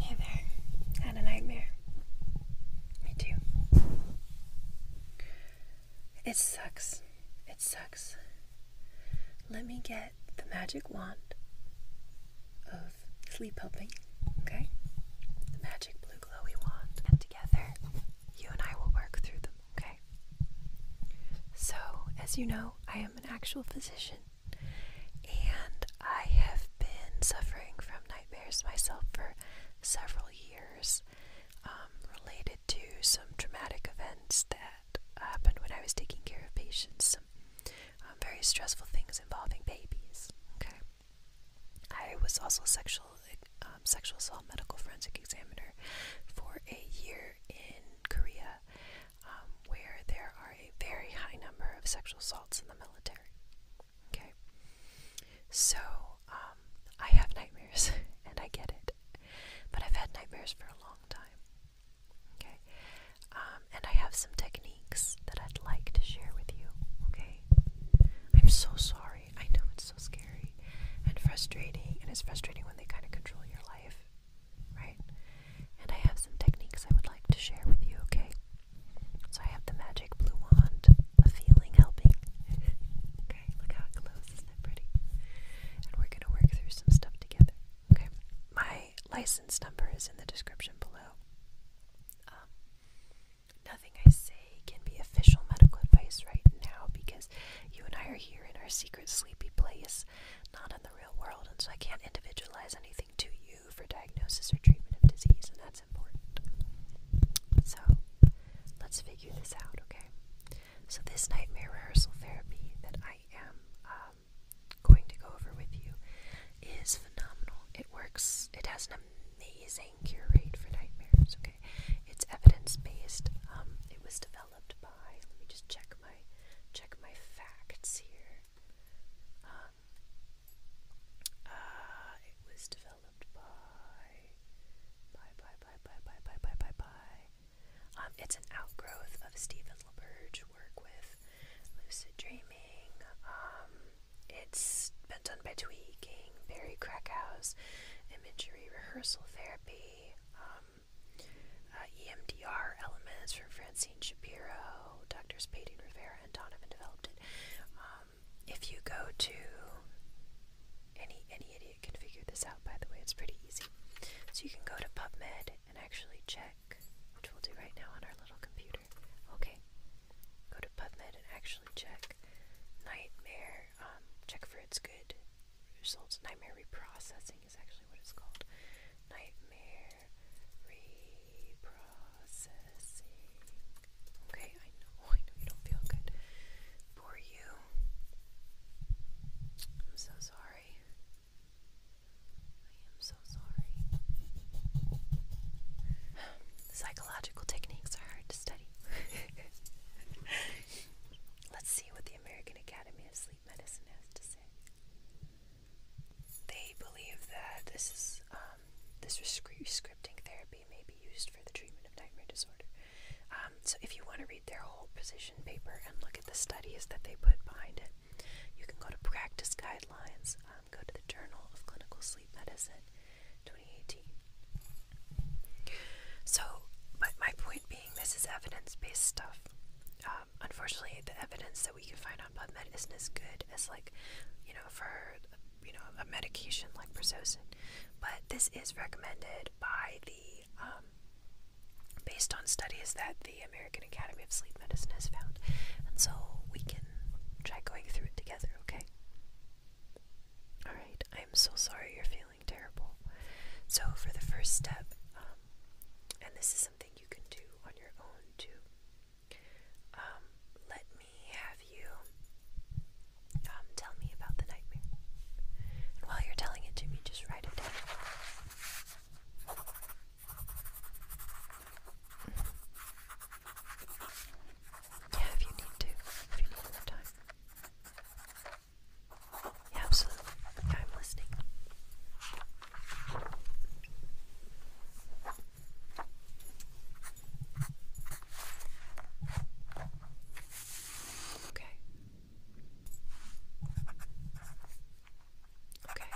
Hey there. Had a nightmare. Me too. It sucks. It sucks. Let me get the magic wand of sleep helping, okay? The magic blue glowy wand. And together, you and I will work through them, okay? So, as you know, I am an actual physician. And I have been suffering from nightmares myself for several years, um, related to some traumatic events that happened when I was taking care of patients, some um, very stressful things involving babies. Okay. I was also sexual um, sexual assault medical forensic examiner for a year in Korea, um, where there are a very high number of sexual assaults in the military. Okay? So, um, I have nightmares, and I get it. But I've had nightmares for a long time. Okay? Um, and I have some techniques that I'd like to share with you. Okay? I'm so sorry. I know it's so scary and frustrating, and it's frustrating when they kind of control your life right? And I have some techniques I would like to share with you, okay? So I have the magic blue wand, the feeling helping. okay, look how it glows, isn't that pretty? And we're gonna work through some stuff together, okay? My license number is in the description below. Um, nothing I say can be official medical advice right now because you and I are here in our secret sleepy place, not in the real world, and so I can't individualize anything to you for diagnosis or treatment of disease, and that's important. So, let's figure this out, okay? So, this nightmare rehearsal therapy that I am um, going to go over with you is phenomenal. It works, it has an amazing cure rate for nightmares, okay? It's evidence based. Um, it was developed by, let me just check check my facts here. Um, uh, it was developed by by by by by by by by by um, it's an outgrowth of Stephen LaBerge work with lucid dreaming. Um, it's been done by tweaking, Barry Krakow's imagery rehearsal therapy. Uh, EMDR elements from Francine Shapiro, Doctors Payton Rivera, and Donovan developed it. Um, if you go to any any idiot can figure this out. By the way, it's pretty easy. So you can go to PubMed and actually check, which we'll do right now on our little computer. Okay, go to PubMed and actually check nightmare. Um, check for its good results. Nightmare reprocessing is actually what it's called. Nightmare reprocessing. Okay, I know, I know you don't feel good. Poor you. I'm so sorry. I am so sorry. Psychological techniques are hard to study. Let's see what the American Academy of sleep medicine has to say. They believe that this is um, this scripting therapy may be used for the treatment of nightmare disorder. Um, so if you want to read their whole position paper and look at the studies that they put behind it, you can go to practice guidelines, um, go to the Journal of Clinical Sleep Medicine, 2018. So, but my point being this is evidence-based stuff. Um, unfortunately, the evidence that we can find on PubMed isn't as good as like, you know, for you know a medication like Prozocin, but this is recommended by the um, based on studies that the American Academy of Sleep Medicine has found, and so we can try going through it together. Okay. All right. I'm so sorry you're feeling terrible. So, for the first step, um, and this is something you can do on your own too, um, let me have you um, tell me about the nightmare. while you're telling it to me, just write it down. Yeah, if you need to, if you need more time absolutely. Yeah, I'm listening. Okay. Okay.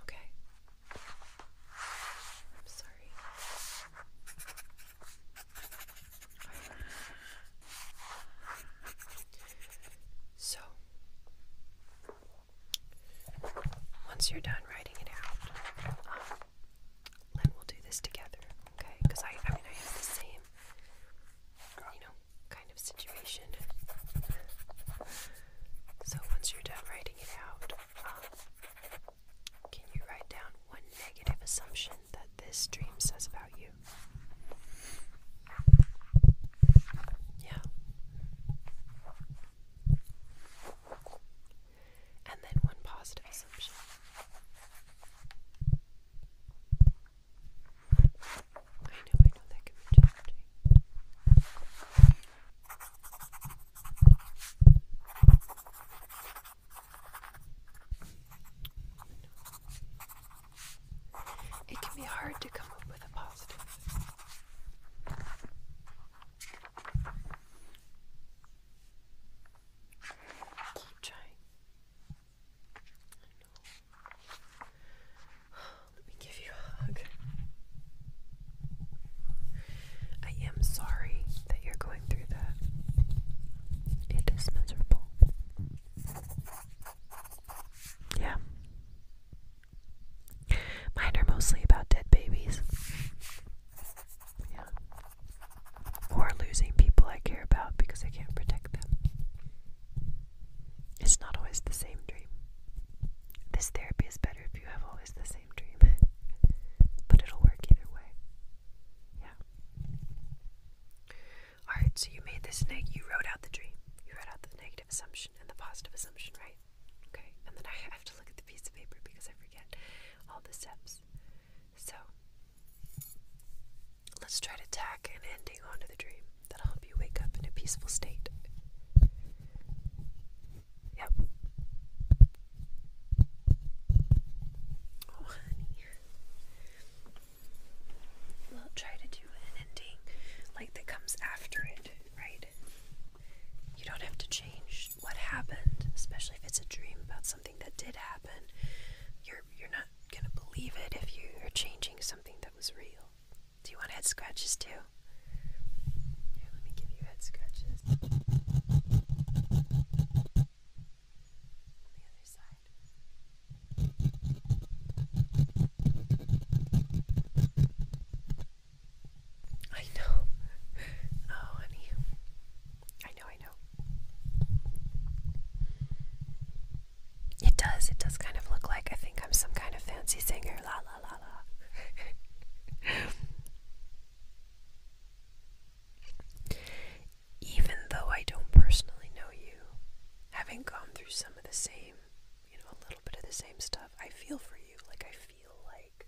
Okay. Okay. So, once you're done writing it out, um, then we'll do this together, okay? Because I, I mean, I have the same, you know, so once you're done writing it out, um, can you write down one negative assumption that this dream says about you? Yeah. And then one positive assumption. I know, I know that can be challenging. It can be hard to come up with a positive. Keep trying. Let me give you a hug. I am sorry that you're going through that. It is miserable. Yeah. Mine are mostly about dead babies. Or losing people I care about because I can't protect them. It's not always the same dream. This therapy is better if you have always the same dream, but it'll work either way. Yeah. Alright, so you made this neg, you wrote out the dream. You wrote out the negative assumption and the positive assumption, right? Okay, and then I have to look at the piece of paper because I forget all the steps. So, let's try to tack an ending onto the dream that'll help you wake up in a peaceful state. Yep. Oh, honey. We'll try to do an ending like that comes after it, right? You don't have to change what happened, especially if it's a dream about something that did happen. You're you're not gonna believe it if you are changing something that was real. Do you want head scratches too? Here, let me give you head scratches. I know. Oh, honey. I know, I know. It does. It does kind of look like I think I'm some kind of fancy singer. La la la la. Even though I don't personally know you, having gone through some of the same, you know, a little bit of the same stuff, I feel for you. Like I feel like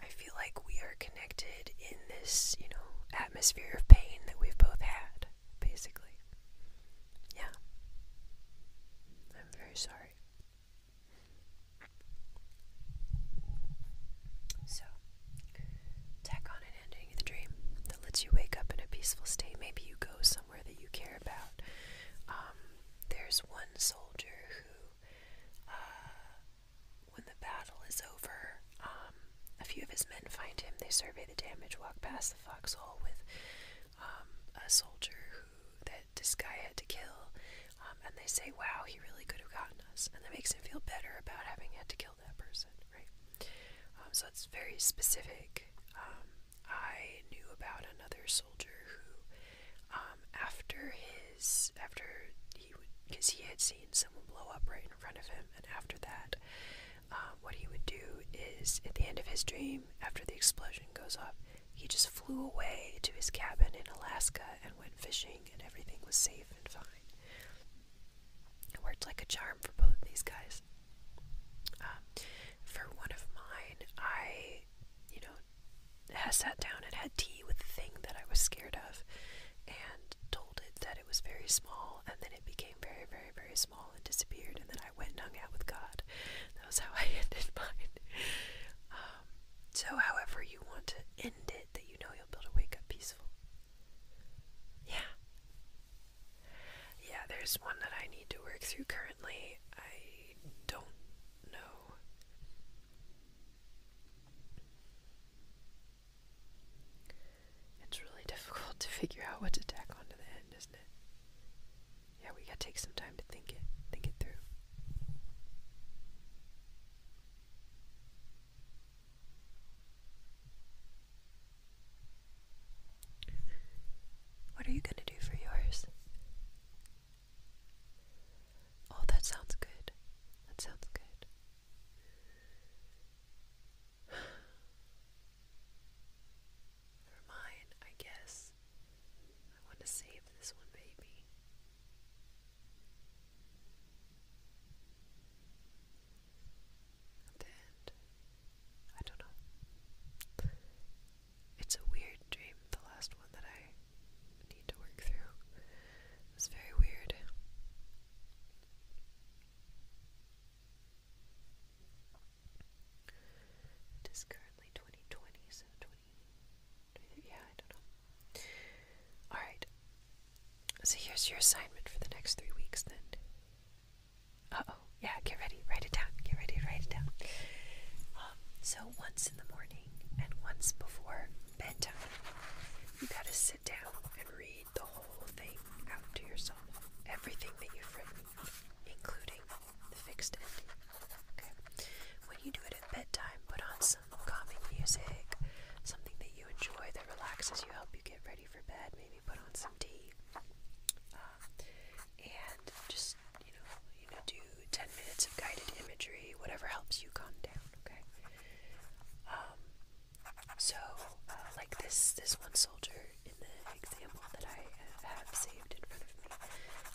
I feel like we are connected in this, you know, atmosphere of pain that we've both had, basically. Yeah. I'm very sorry. So, tack on an ending to the dream that lets you wake up in a peaceful state. Maybe you go somewhere that you care about. Um, there's one soldier who, uh, when the battle is over, um, a few of his men find him. They survey the damage, walk past the foxhole with um, a soldier who that this guy had to kill, um, and they say, "Wow, he really could have gotten us," and that makes him feel better about having had to kill that person, right? Um, so it's very specific. Um, I knew about another soldier who, um, after his after he would because he had seen someone blow up right in front of him, and after that, uh, what he would do is at the end of his dream, after the explosion goes off, he just flew away to his cabin in Alaska and went fishing, and everything was safe and fine. It worked like a charm for both of these guys. Um, for one of mine, I, you know, sat down and had tea with the thing that I was scared of and told it that it was very small, and then it became very, very, very small and disappeared, and then I went and hung out with God. That was how I ended mine. Um, so, however, you want to end it, that you know you'll be able to wake up peaceful. Yeah. Yeah, there's one that I need to work through currently. I don't know. It's really difficult to figure out what to tack to the end, isn't it? Yeah, we gotta take some time to think it, think it through. What are you gonna do for yours? Oh, that sounds good. That sounds good. For mine, I guess. I want to save this one, baby. At I don't know. It's a weird dream, the last one that I need to work through. It very weird. It is currently 2020, so 20, yeah, I don't know. Alright, so here's your assignment for the next three weeks then. Uh-oh, yeah, get ready, write it down, get ready, write it down. Um, so once in the morning and once before bedtime, you gotta sit down and read the whole thing out to yourself. Everything that you've written, including the fixed ending. When you do it at bedtime, put on some calming music, something that you enjoy that relaxes you, help you get ready for bed. Maybe put on some tea, uh, and just you know, you know, do ten minutes of guided imagery, whatever helps you calm down. Okay. Um, so, uh, like this, this one soldier in the example that I have saved in front of me,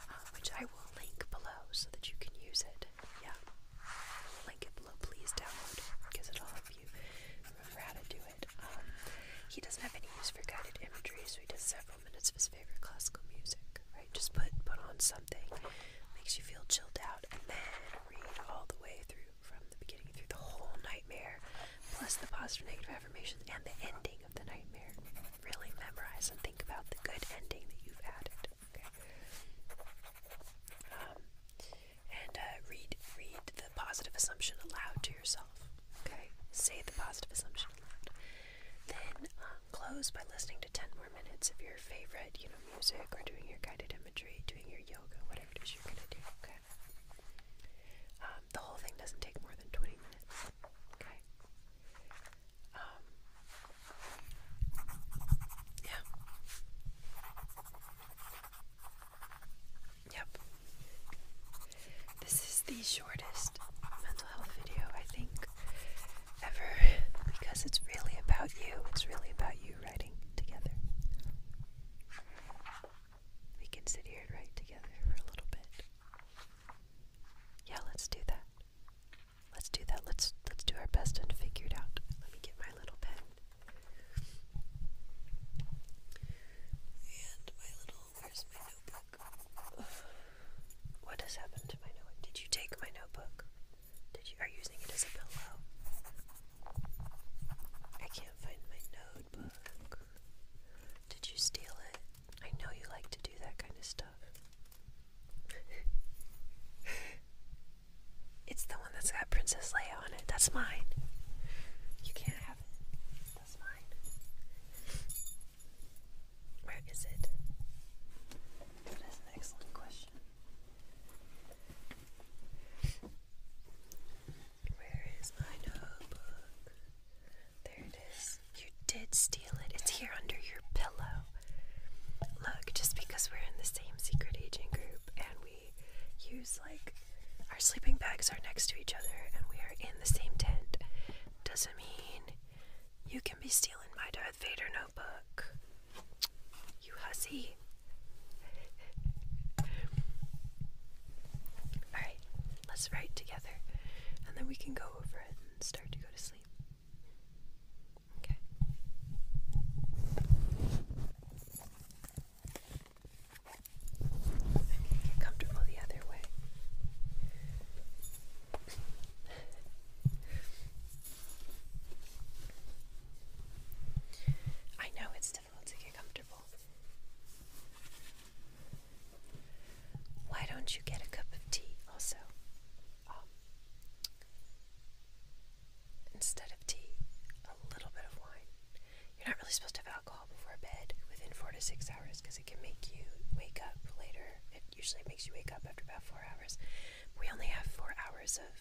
uh, which I will link below so that you can use it. Yeah, link it below. Please download because it'll help you remember how to do it. Um, he doesn't have any use for guided imagery, so he does several minutes of his favorite classical music. Right, just put put on something makes you feel chilled out, and then read all the way through from the beginning through the whole nightmare, plus the positive negative affirmations and the ending of the nightmare. Really memorize and think about the good ending that you've added. Um, and uh, read read the positive assumption aloud to yourself. Okay. Say the positive assumption aloud. Then um, close by listening to ten more minutes of your favorite, you know, music or doing your guided imagery, doing your yoga, whatever it is you're gonna do, okay? Um, the whole thing doesn't take more than 20 minutes, okay? Um, yeah. Yep. This is the shortest mental health video I think ever because it's really about you. It's really about you writing together. We can sit here and write together for a little bit. Yeah, let's do that. Let's do that. Let's let's do our best and figure it out. Let me get my little pen. And my little where's my notebook? What has happened to my notebook? Did you take my notebook? Did you are using it as a pillow? I can't find my notebook. Did you steal it? I know you like to do that kind of stuff. it's the one that's got Princess Leia on it. That's mine. You can't have it. That's mine. Where is it? That is an excellent question. Where is my notebook? There it is. You did steal it. It's here under your pillow. Look, just because we're in the same secret agent group and we use like our sleeping bags are next to each other and we are in the same tent doesn't mean you can be stealing my Darth Vader notebook. You hussy. Alright, let's write together and then we can go over it and start to go to sleep. Okay. get comfortable the other way. I know it's difficult to get comfortable. Why don't you get a cup of tea also? Um, instead of tea, a little bit of wine. You're not really supposed to have alcohol before bed within four to six hours because it can make you wake up later. It usually makes you wake up after about four hours. We only have four hours of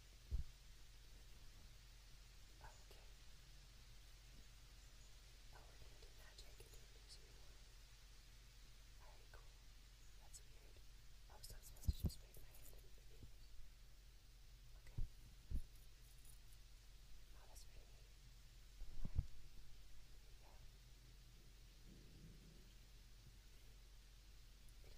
Okay. Oh, we're going magic and cool. That's weird. I was supposed to just wave my hand and move. Okay. Oh, that's pretty neat. Alright. Here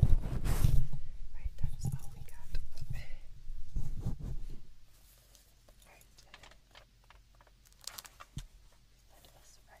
Right, that is all we got. Right. That is right. Right.